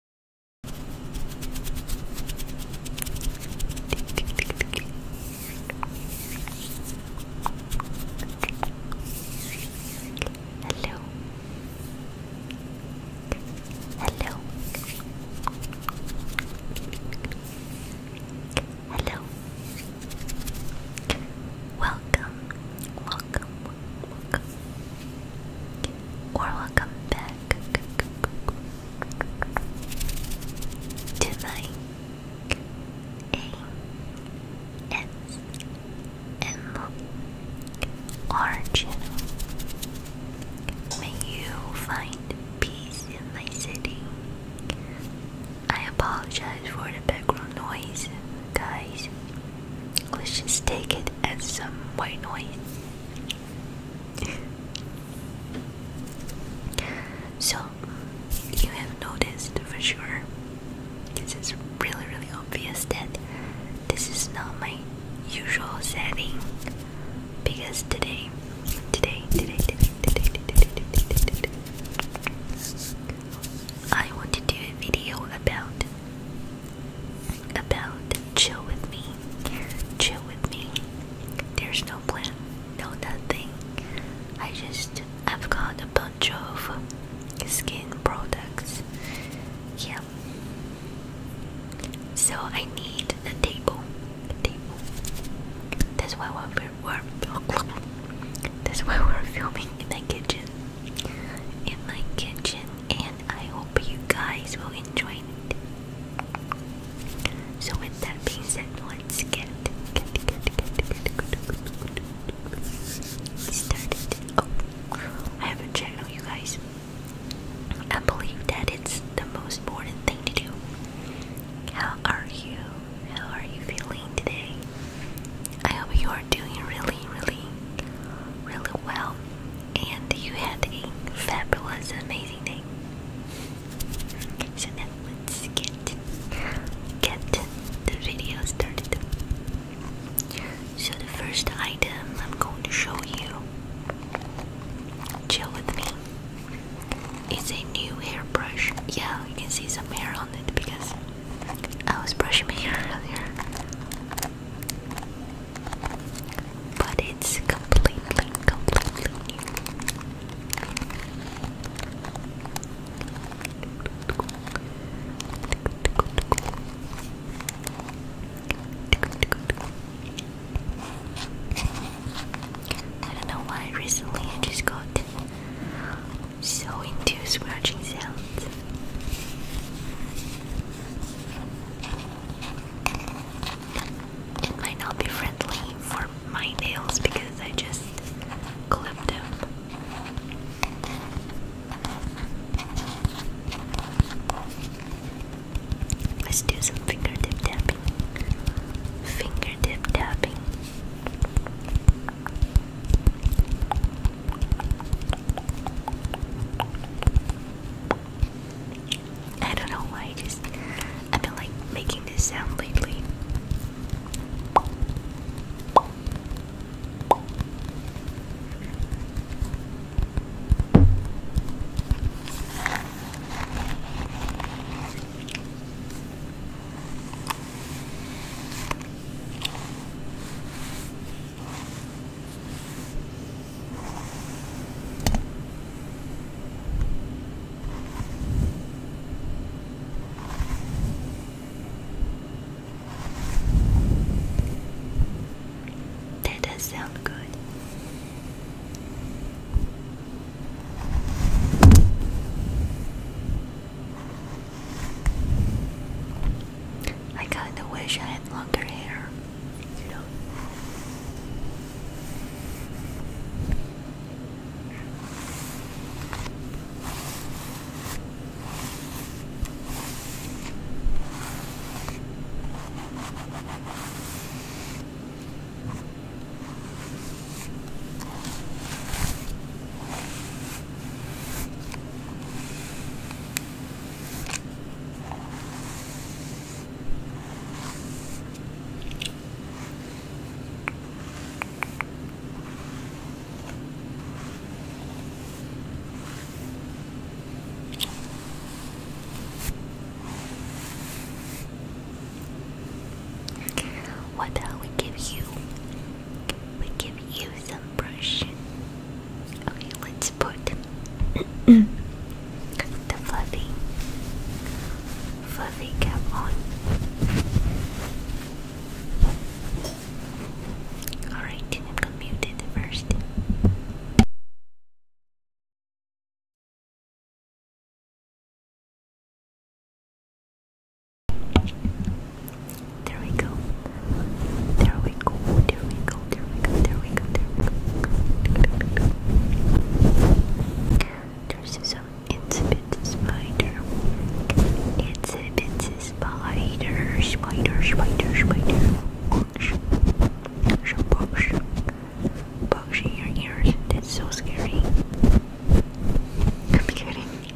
Hello. Hello. Hello. Welcome. Welcome. Welcome or welcome back to my May you find peace in my city. I apologize for the background noise, guys. Let's just take it as some white noise so, you have noticed for sure, this is really, really obvious that this is not my usual setting because today, today, today, today, today, today, today, today, today I want to do a video about about chill with me, chill with me. There's no plan, no nothing. I just I've got a bunch of skin products. Yeah. So I need a table. A table. That's why we're, we're that's why we're filming in my kitchen. In my kitchen, and I hope you guys will enjoy it. So with that being said, let's get started. Oh, I haven't checked you guys. I believe that it's the most important thing to do. How are you? How are you feeling today? I hope you are doing really, really, really well and you had a fabulous, amazing day. So now let's get get the video started. So the first item I'm going to show you, chill with me, is a new hairbrush. Yeah, you can see some hair on it because I was brushing my hair earlier but it's completely, completely new. I don't know why recently I just got so into scratching sounds. It might not be friendly for my nails because I just clipped them. Let's do some fingertip tapping. Fingertip tapping. I don't know why, I just I've like making this sound lately. That does sound good. I kinda wish I had longer hair, you know. What I we give you we give you some brush. Okay, let's put the fluffy, fluffy cap on. Alright, I'm gonna mute it first. There we go. There we go. There we go. There we go. There we go. There we go. There's some insipid spider. Insipid spider. Spider. Spider. Spider. Bugs. There's a bugs. Bugs in your ears. That's so scary. I'm kidding.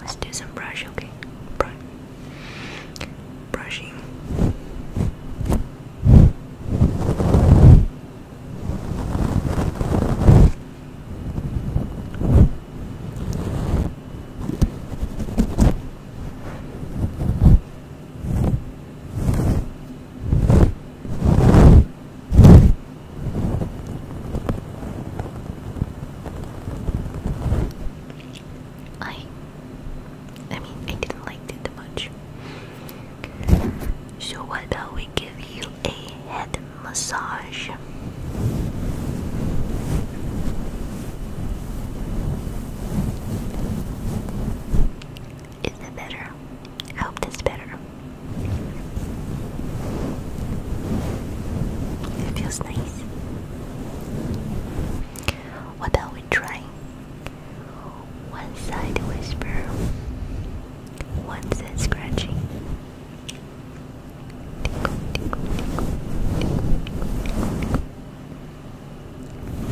Let's do some brush, okay? Brush. Brushing. I I mean I didn't like it much. So what about we give you a head massage? Is it better? I hope that's better. It feels nice. What are we trying? One side whisper, one side scratching.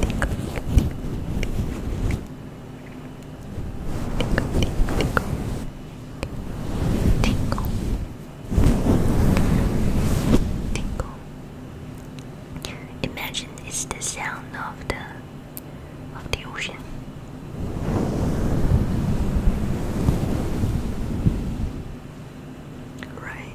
Tickle, tickle, tickle, tickle, tickle, tickle, tickle, tickle, Tingle. Imagine it's the sound of the of the ocean. Right.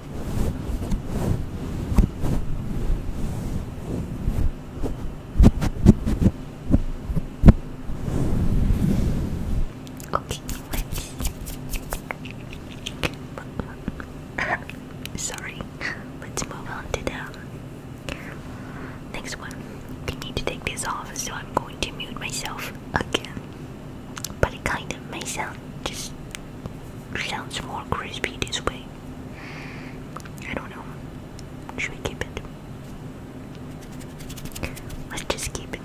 Okay, sorry. Let's move on to the next one. I need to take this off, so I'm going to mute myself again. But it kind of may sound just sounds more crispy this way. I don't know. Should we keep it? Let's just keep it.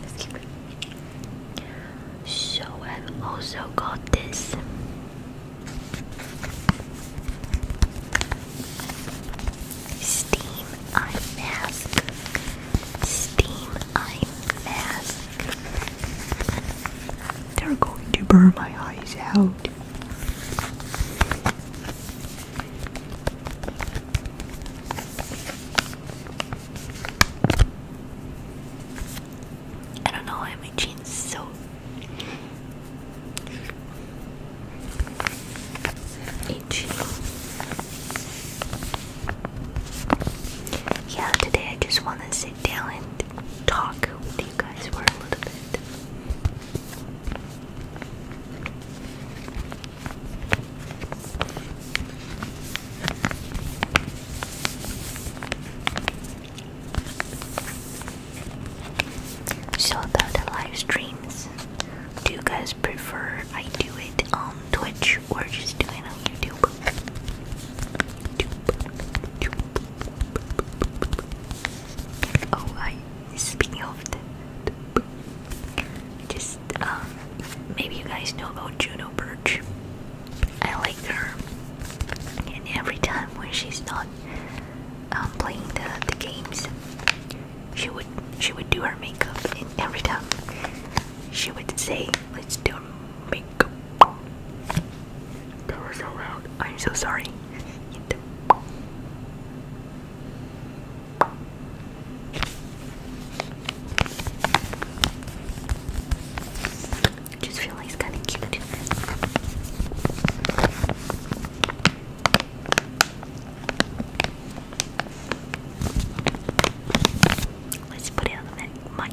Let's keep it. So I've also got this. Steam eye mask. Steam eye mask. They're going to burn my eyes out. I don't know why my jeans so itchy. Yeah, today I just want to sit down and talk with you guys for a little bit. So about the live streams, do you guys prefer I do it on Twitch or just do it on YouTube? Oh, I speaking of that, just um, maybe you guys know about Juno Birch. I like her, and every time when she's not um, playing the the games, she would she would do her makeup, and every time she would say, "Let's do that was so loud. I'm so sorry. Just feel like it's kind of cute. Let's put it on the mic.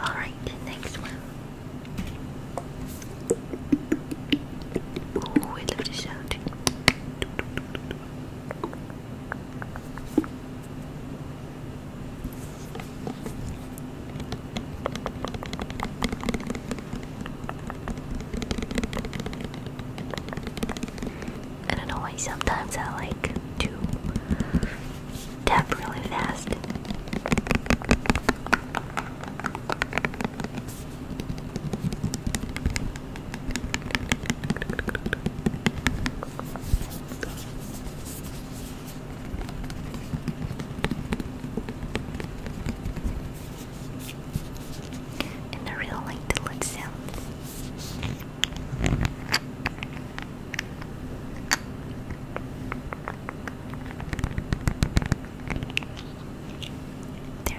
All right, the next one. Oh, I love the sound. I don't know why sometimes I like to tap really fast. And I really like the lid sound. There.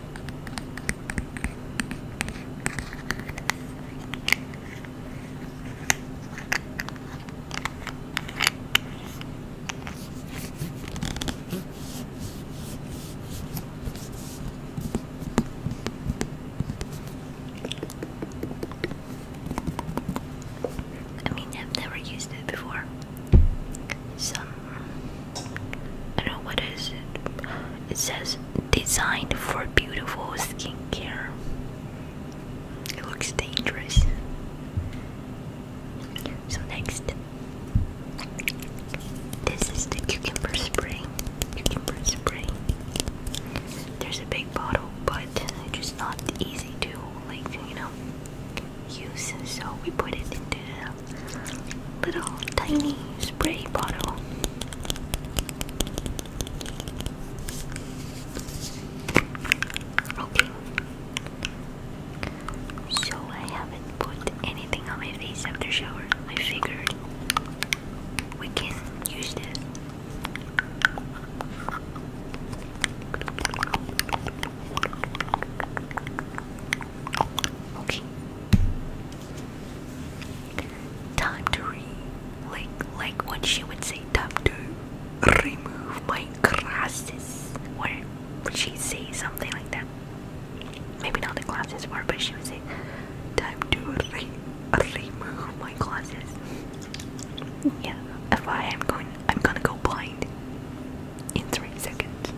I mean, I've never used it before. Some I don't know what is it. It says designed for beautiful skincare. It looks dangerous. So next, this is the cucumber spray. Cucumber spray. There's a big bottle, but it's just not easy to like you know use. So we put it into little tiny spray bottle. Okay. So I haven't put anything on my face after shower. I figured we can use this. Time to re like like what she would say time to remove my glasses or would she say something like that? Maybe not the glasses word but she would say time to re remove my glasses. Yeah, if I am going I'm gonna go blind in three seconds.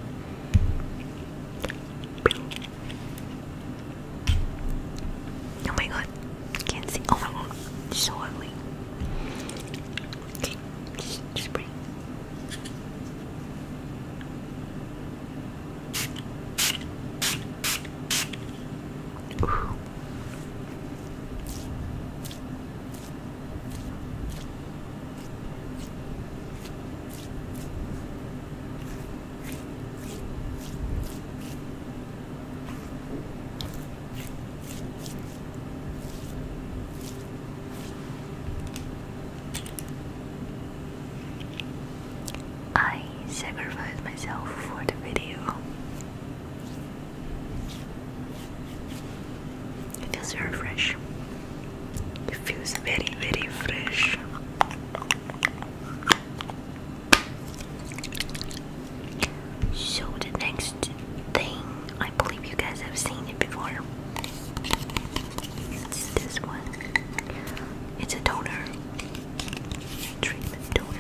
Oh my god, can't see. Oh my god, so ugly. Okay, just, I sacrificed myself for the video. It feels very fresh. It feels very, very fresh. So, the next thing, I believe you guys have seen it before. It's this one. It's a toner. toner.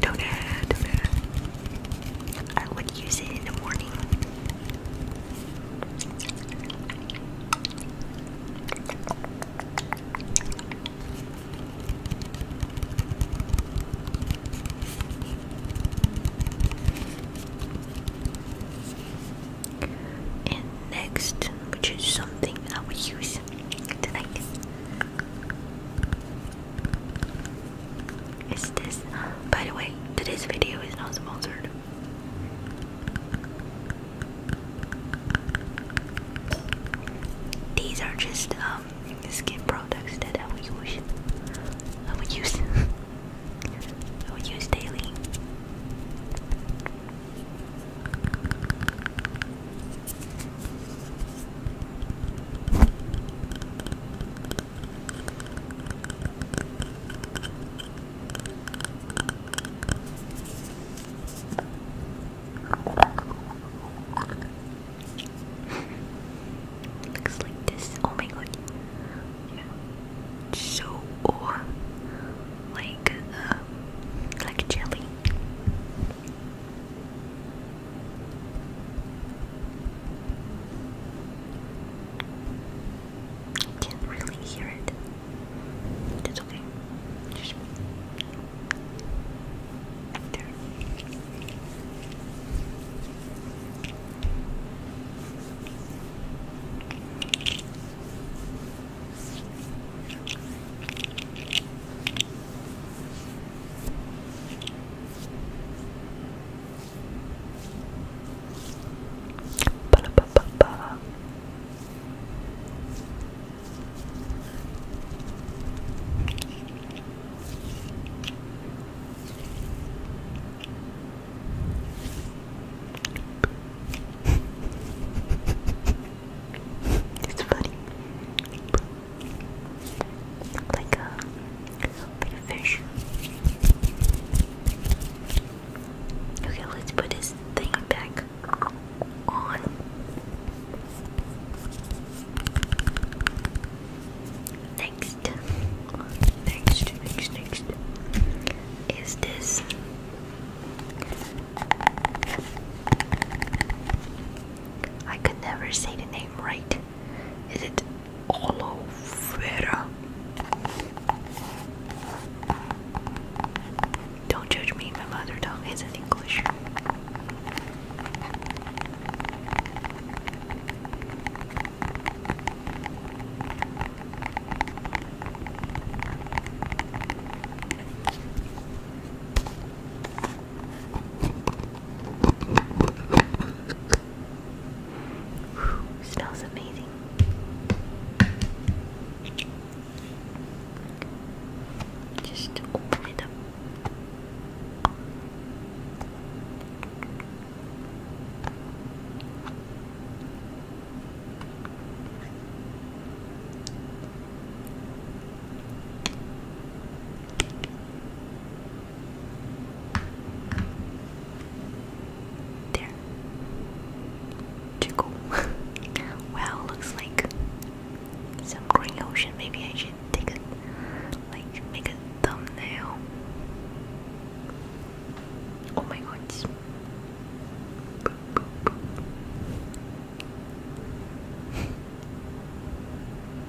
Toner, toner. I would use it in the morning and next, which is something I will use tonight, is this. By the way, today's video is not sponsored. These are just um skin products that I would use. I would use. I would use daily looks like this. Oh my god. Yeah. So oh, like um, like jelly. I can't really hear it. It's okay. Just there. Ba -ba -ba -ba. it's funny like a uh, Okay, let's put this thing back on. Next, next, next, next is this. I could never say the name right. Is it aloe vera. Don't judge me, my mother tongue isn't English. Whew, smells amazing. Just open it up. There. Chico. well, looks like some green ocean. Maybe I should take a like, make a thumbnail. Oh my god.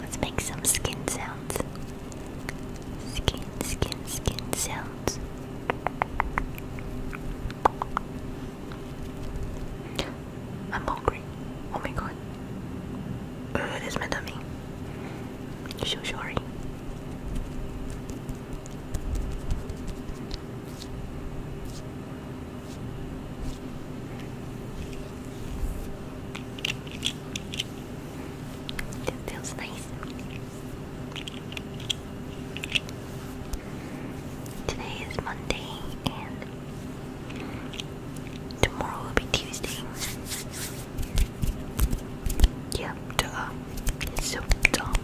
Let's make some skin sounds. Skin, skin, skin sounds. I'm hungry. Oh my god. Uh, that's my tummy. So sorry. It feels nice. Today is Monday and tomorrow will be Tuesday. Yeah, duh. It's so dumb.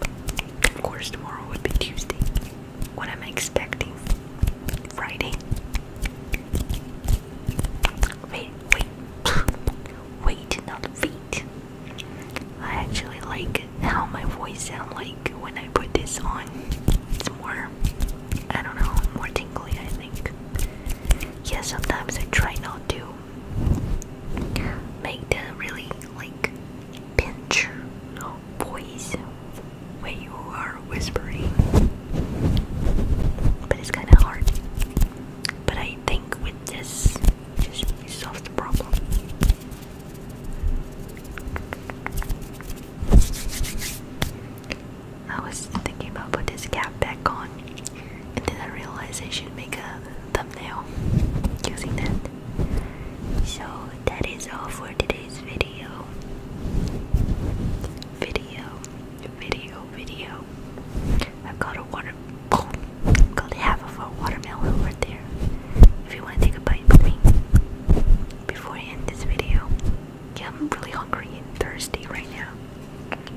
Of course tomorrow would be Tuesday. What am I expecting? Friday? Wait, wait. wait, not wait. I actually like how my voice sound like when I put this on. It's more, I don't know, more tingly I think. Yeah, sometimes I try not to make the really like pinch voice when you are whispering. But it's kinda hard. But I think with this just solves the problem. I was thinking about put this cap back on, and then I realized I should make a thumbnail using that. So that is all for today's video. Video, video, video. i got a water. Oh, got half of a watermelon there if you want to take a bite with me. Before I end this video, yeah, I'm really hungry and thirsty right now. Yeah.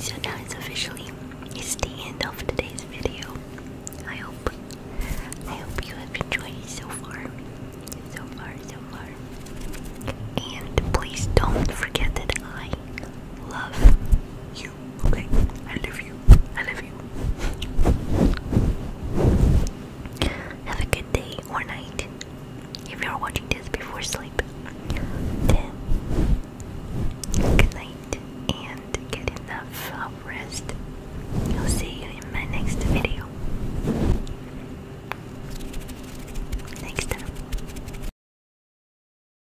So now it's officially it's the end of today's video. I hope I hope you have enjoyed it so far. So far, so far. And please don't forget that I love you okay? I love you. I love you. Have a good day or night if you're watching this before sleep. Then, good night and get enough rest. I'll see you in my next video. Next time.